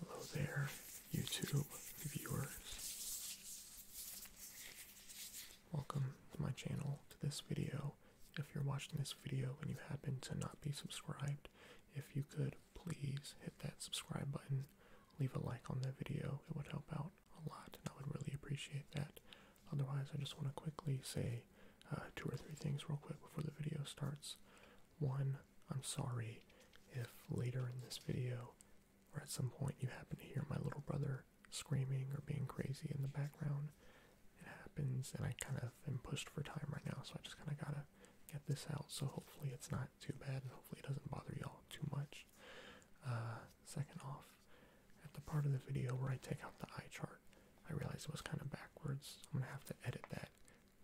Hello there, YouTube viewers. Welcome to my channel, to this video. If you're watching this video and you happen to not be subscribed, if you could please hit that subscribe button, leave a like on the video, it would help out a lot, and I would really appreciate that. Otherwise, I just want to quickly say uh, two or three things real quick before the video starts. One, I'm sorry if later in this video or at some point you happen to hear my little brother screaming or being crazy in the background. It happens, and I kind of am pushed for time right now, so I just kind of gotta get this out. So hopefully it's not too bad, and hopefully it doesn't bother y'all too much. Uh, second off, at the part of the video where I take out the eye chart, I realized it was kind of backwards. I'm gonna have to edit that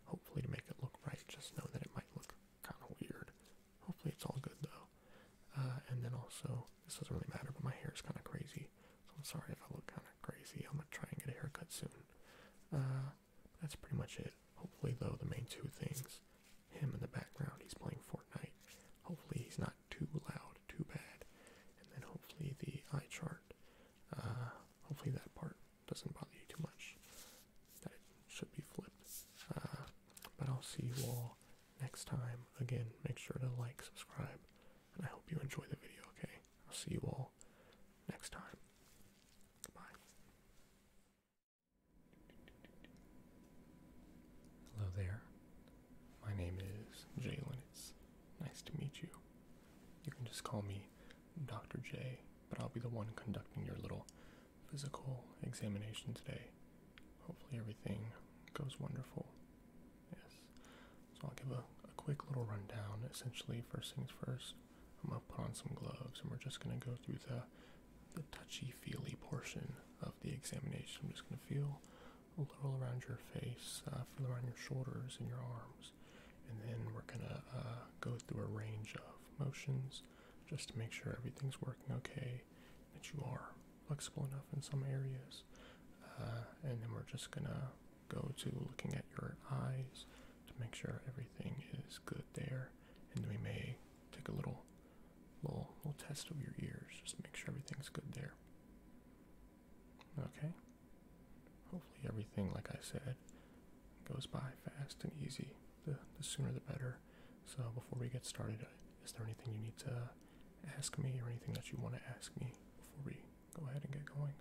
Hopefully to make it look right, just know that it might look kind of weird. Hopefully it's all good though. Uh, and then also, this doesn't really matter, but my hair is kind of crazy, so I'm sorry if I look kind of crazy. I'm gonna try and get a haircut soon. Uh, that's pretty much it. Hopefully though, the main two things, him in the background, he's playing Fortnite. Hopefully he's not too loud, too bad. And then hopefully the eye chart. Uh, hopefully that part doesn't bother you too much that should be flipped. Uh, but I'll see you all next time. Again, make sure to like, subscribe, and I hope you enjoy the video, okay? I'll see you all next time. Bye. Hello there. My name is Jalen. It's nice to meet you. You can just call me Dr. J, but I'll be the one conducting your little physical examination today. Hopefully, everything goes wonderful. Yes. So, I'll give a, quick little rundown. Essentially, first things first, I'm going to put on some gloves and we're just going to go through the, the touchy feely portion of the examination. I'm just going to feel a little around your face, uh, feel around your shoulders and your arms and then we're gonna uh, go through a range of motions just to make sure everything's working okay, that you are flexible enough in some areas, uh, and then we're just gonna go to looking at your eyes to make sure everything is good there, and we may take a little little little test of your ears just make sure everything's good there. Okay. Hopefully everything, like I said, goes by fast and easy. The, sooner the better. So before we get started, uh, is there anything you need to ask me or anything that you want to ask me before we go ahead and get going?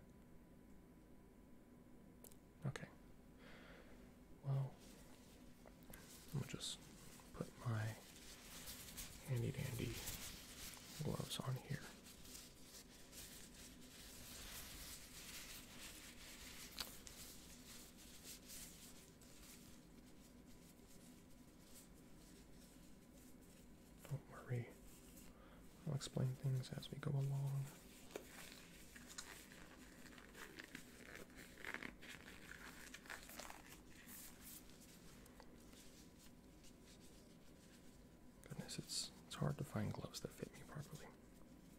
Okay. Well, I'm just put my handy dandy gloves on here. Don't worry, I'll explain things as we go along. Goodness, it's it's hard to find gloves that fit me properly.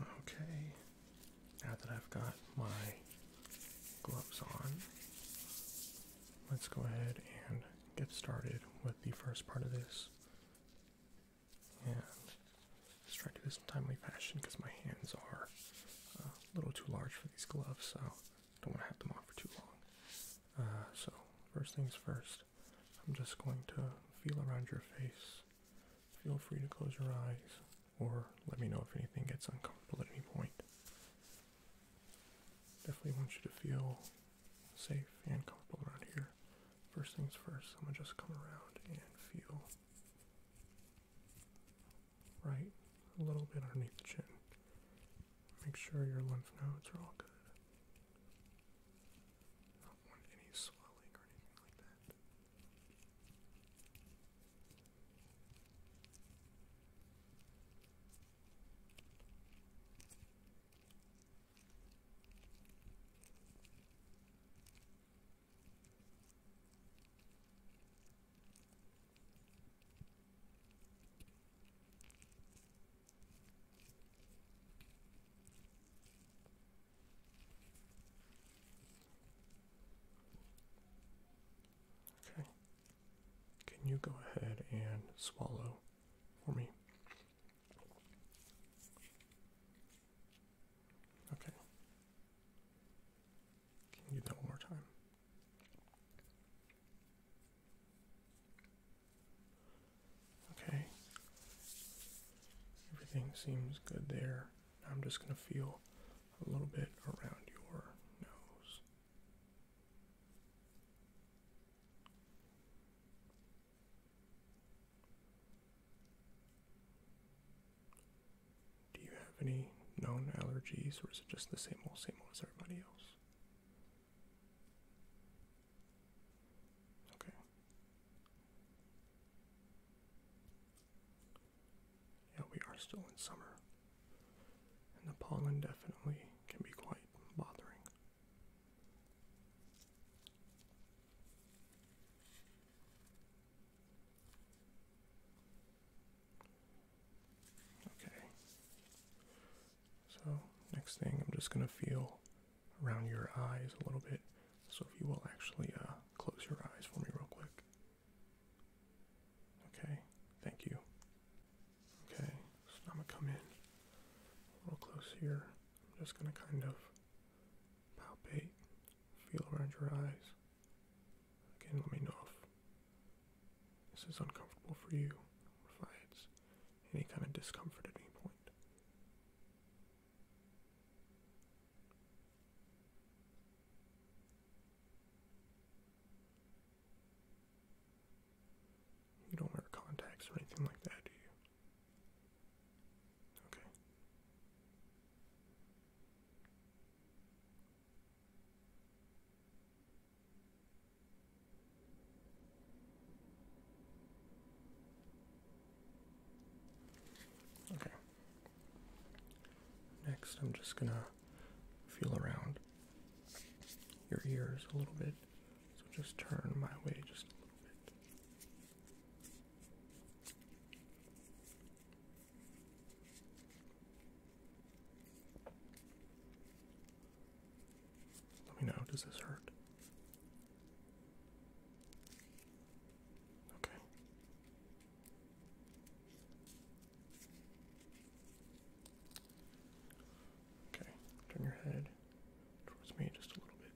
Okay, now that I've got my gloves on, let's go ahead and get started with the first part of this. And let's try to do this in timely fashion because my hands are a little too large for these gloves, so don't want to have them on for too long. Uh, so first things first, I'm just going to feel around your face. Feel free to close your eyes or let me know if anything gets uncomfortable at any point. Definitely want you to feel safe and comfortable around here. First things first, I'm gonna just come around and feel right a little bit underneath the chin. Make sure your lymph nodes are all good. don't want any swelling or anything like that. Okay. Can you go ahead and swallow for me? Okay. Can you do that one more time? Okay. Everything seems good there. I'm just going to feel a little bit around your nose. Do you have any known allergies, or is it just the same old, same old as everybody else? Okay. Yeah, we are still in summer, and the pollen definitely can be quite bothering. Okay. So, next thing, I'm just going to feel around your eyes a little bit. So, if you will actually uh, close your eyes for me, real quick. Okay, thank you. Okay, so I'm going to come in a little close here. I'm just going to kind of palpate, feel around your eyes. Again, let me know if this is uncomfortable for you, If provides any kind of discomfort at any point. You don't wear contacts or anything like that, do you? Okay. Okay. Next, I'm just going to feel around your ears a little bit. So just turn my way just a little bit. Let me know, does this hurt? Okay. Okay, turn your head towards me just a little bit.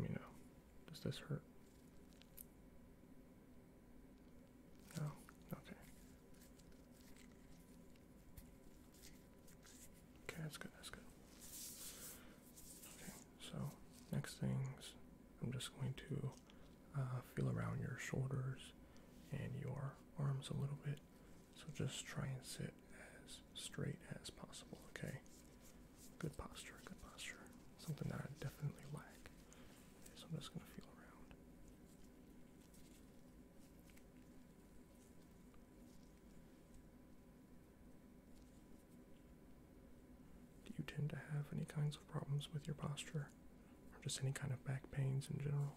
Let me know. Does this hurt? No, okay. Okay, that's good, that's good. Okay, so next things, I'm just going to uh, feel around your shoulders and your arms a little bit. So just try and sit as straight as possible, okay? Good posture, good posture. Something that I definitely lack. so I'm just gonna feel around. Do you tend to have any kinds of problems with your posture? Or just any kind of back pains in general?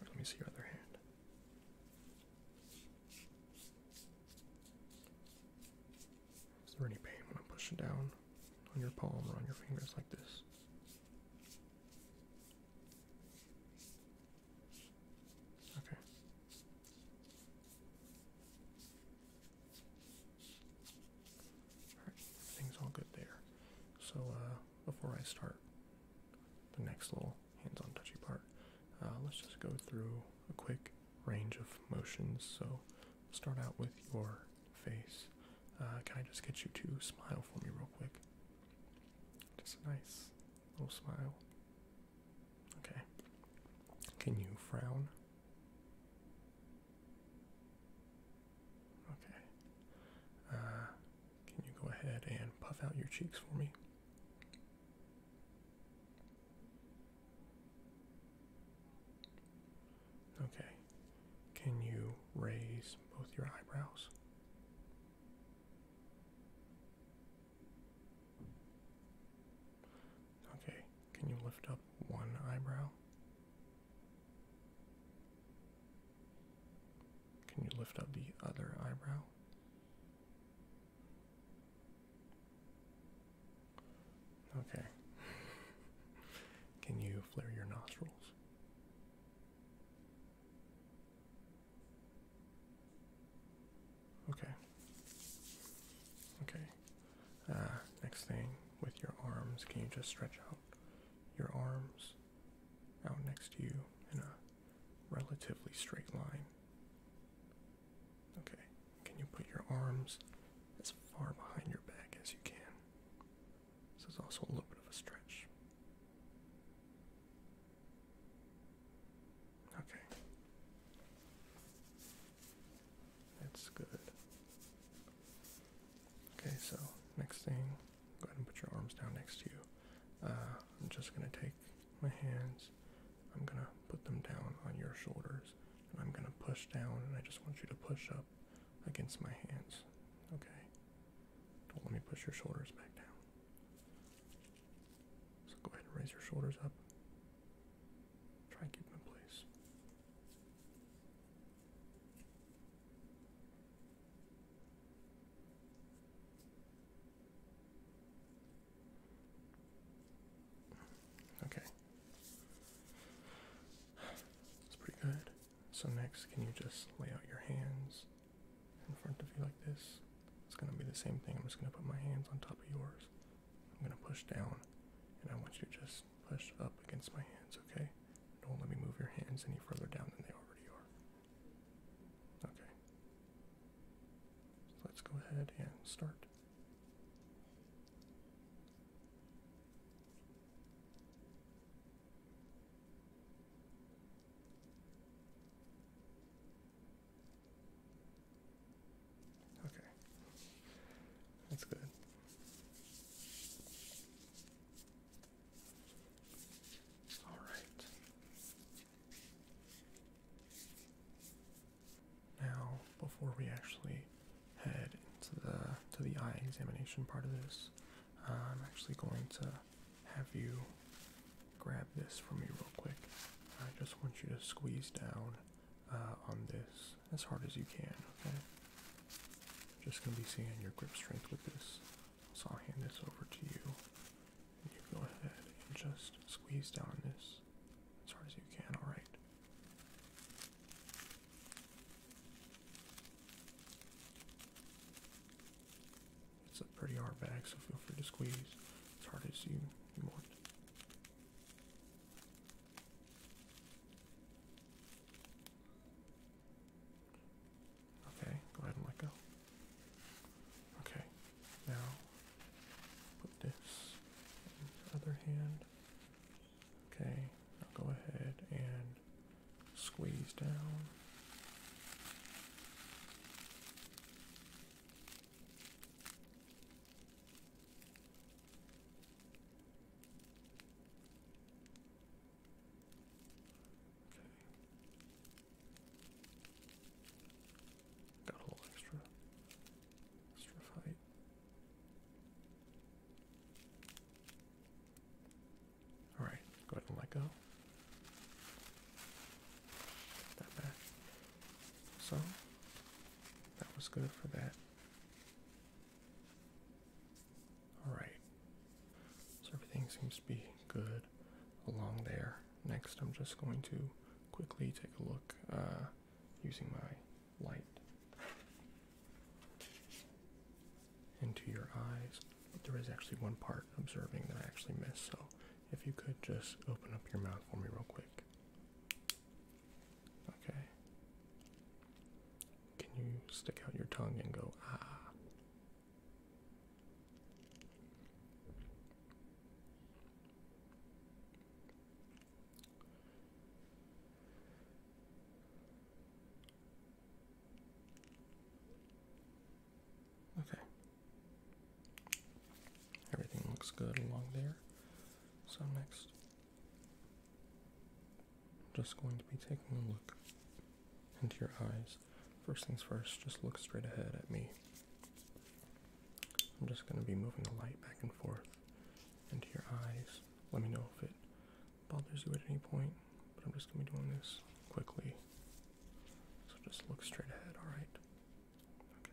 Let me see your other hand. Is there any pain when I am pushing down on your palm or on your fingers like this? Okay. All right, everything's all good there. So uh, before I start the next little hands on touchy part. Uh, let's just go through a quick range of motions. So, start out with your face. Uh, can I just get you to smile for me real quick? Just a nice little smile. Okay. Can you frown? Okay. Uh, can you go ahead and puff out your cheeks for me? Okay. Can you raise both your eyebrows? Okay. Can you lift up one eyebrow? Can you lift up the other eyebrow? Okay. Can you flare your nostrils? Okay. Okay. Uh, next thing with your arms, can you just stretch out your arms out next to you in a relatively straight line. Okay, can you put your arms as far behind your back as you can? This is also a little bit of a stretch. Okay. That's good. Okay, so next thing, go ahead and put your arms down next to you. Uh, I'm just going to take my hands. I'm going to put them down on your shoulders. And I'm going to push down, and I just want you to push up against my hands. Okay? Don't let me push your shoulders back down. So go ahead and raise your shoulders up. Try and keep them in place. Okay. That's pretty good. So next, can you just lay out your hands in front of you like this? It's going to be the same thing. I'm just going to put my hands on top of yours. I'm going to push down, and I want you to just push up against my hands, okay? Don't let me move your hands any further down than they already are. Okay. let's go ahead and start. Okay. That's good. All right. Now, before we actually head into the to the eye examination part of this, uh, I'm actually going to have you grab this from me real quick. I just want you to squeeze down uh, on this as hard as you can. Okay. Just gonna be seeing your grip strength with this. So I'll hand this over to you you go ahead and just squeeze down this as hard as you can, alright? It's a pretty hard bag, so feel free to squeeze as hard as you, want. Okay, go ahead and let go. Okay, now put this in the other hand. Okay, now go ahead and squeeze down. Okay. Got a little extra, extra height. All right, go ahead and let go. that back. So that was good for that. All right. So everything seems to be good along there. Next, I'm just going to quickly take a look uh, using my light into your eyes. But there is actually one part observing that I actually missed, so if you could just open up your mouth for me real quick. Okay. Can you stick out your tongue and go ah? Okay. Everything looks good along there. So, next, I'm just going to be taking a look into your eyes. First things first, just look straight ahead at me. I'm just going to be moving the light back and forth into your eyes. Let me know if it bothers you at any point, but I'm just going to be doing this quickly. So just look straight ahead, alright? Okay.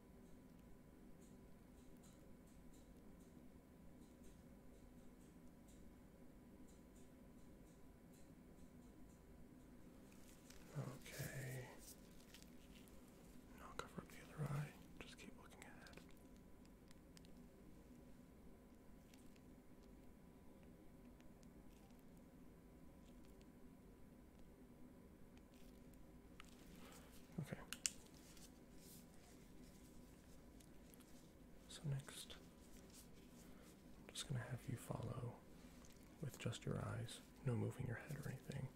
Okay. Now cover up the other eye. Just keep looking ahead. Okay. So next, I'm just going to have you follow with just your eyes, no moving your head or anything.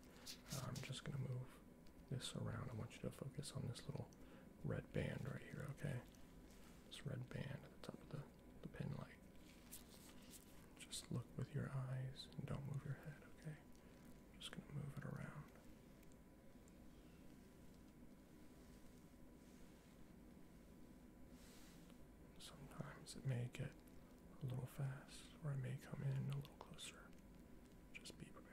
I'm just going to move this around. I want you to focus on this little red band right here, okay? This red band at the top of the, the pin light. Just look with your eyes and don't move your head, okay? just going to move it around. Sometimes it may get a little fast, or I may come in a little closer. Just be prepared.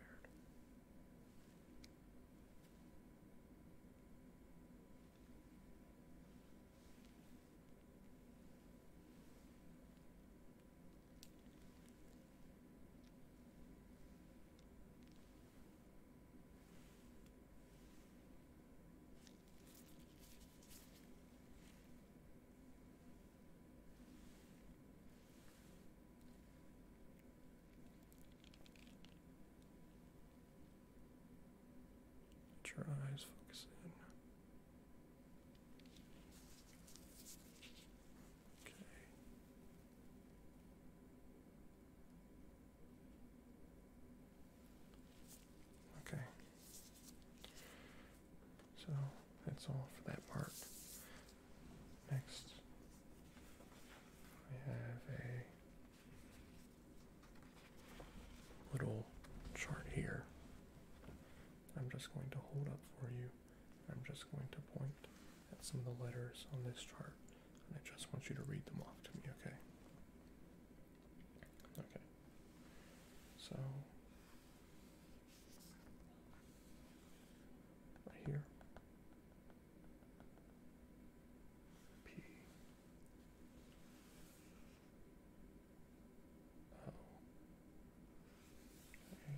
Put your eyes focus in. Okay. Okay. So that's all for that part. Next, we have a little chart here. I'm just going to hold up for you. I'm just going to point at some of the letters on this chart, and I just want you to read them off to me, okay? Okay. So, right here. P O. Okay.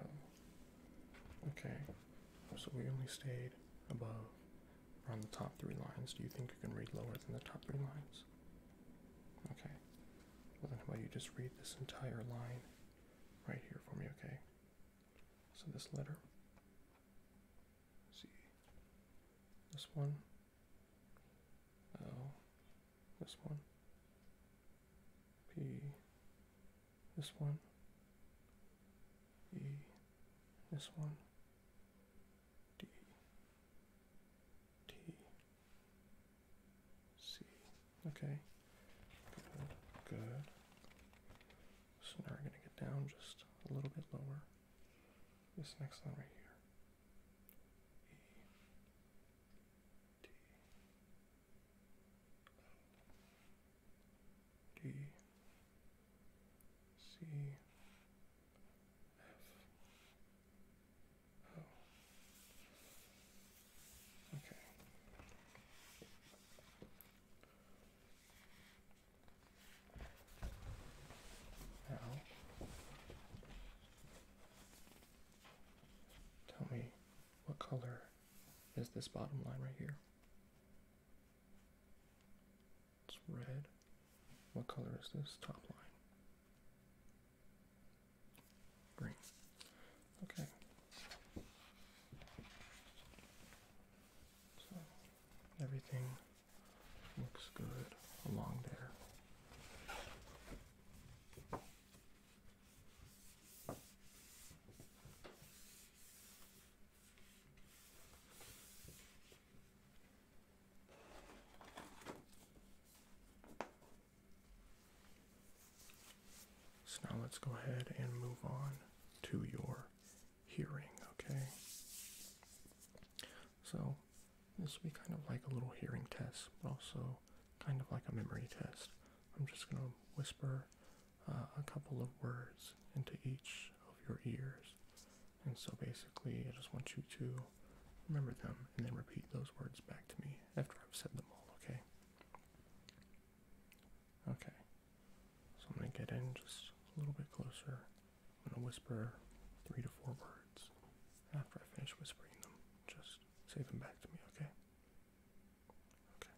Oh, okay, so we only stayed above around the top three lines. Do you think you can read lower than the top three lines? Okay, well, then how about you just read this entire line right here for me, okay? So this letter, see, this one. Oh, this one. P. This one. E. This one. D. T. C. Okay. Good. Good. So now we're gonna get down just a little bit lower. This next one right here. D C F O. Okay tell me what color is this bottom line right here? It's red. What color is this top line? Green. Okay. So everything Looks good along there. So now let's go ahead and move on to your hearing, okay? So this will be kind of like a little hearing test, but also kind of like a memory test. I'm just going to whisper uh, a couple of words into each of your ears. And so basically, I just want you to remember them and then repeat those words back to me after I've said them all, okay? Okay. So I'm going to get in just a little bit closer. I'm gonna whisper three to four words. After I finish whispering them, just say them back to me, okay? Okay.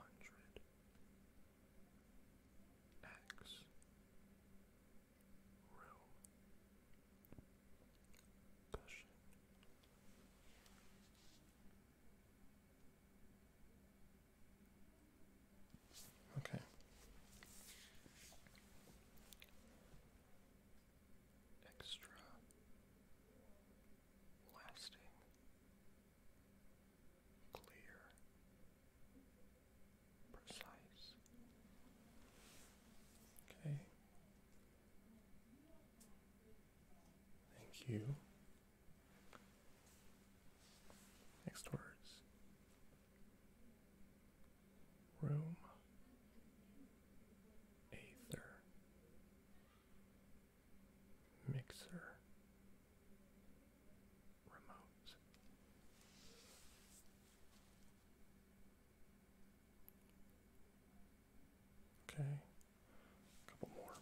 Hundred X Room Cushion Okay. Extra lasting clear precise okay thank you Next words Room Aether Mixer Remote Okay, couple more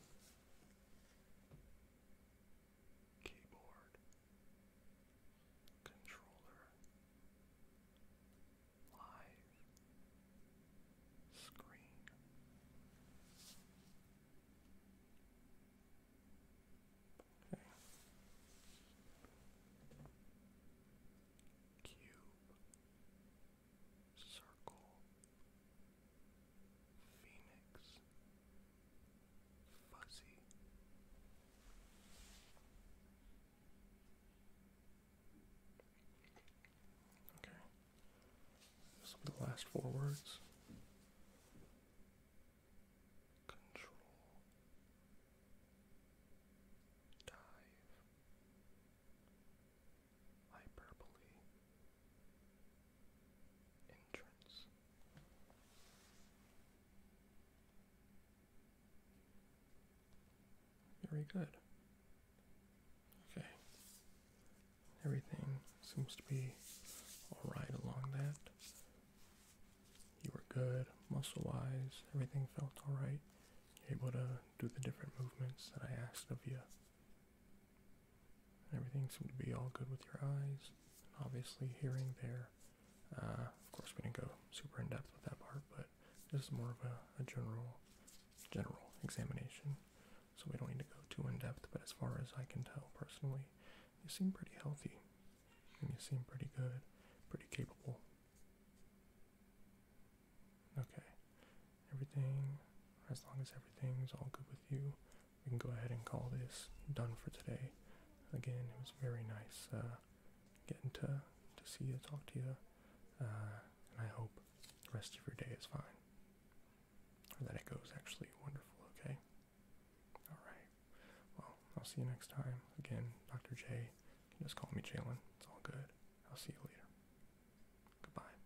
keyboard, controller, live, screen. Okay. Cube, circle, Phoenix, Fuzzy, okay, some the last four words. Control. Dive. Hyperbole entrance. Very good. Okay. Everything seems to be alright along that. You were good, muscle wise, everything felt alright. You're able to do the different movements that I asked of you. Everything seems to be all good with your eyes. And obviously, hearing there. Uh, of course, we didn't go super in depth with that part, but this is more of a, a general, general examination. So we don't need to go too in depth. But as far as I can tell personally, you seem pretty healthy, and you seem pretty good, pretty capable. Okay, everything. As long as everything's all good with you, we can go ahead and call this done for today. Again, it was very nice uh, getting to to see you, talk to you, uh, and I hope the rest of your day is fine, or that it goes actually wonderful. Okay. All right. Well, I'll see you next time. Again, Dr. J. You can just call me Jalen. It's all good. I'll see you later. Goodbye.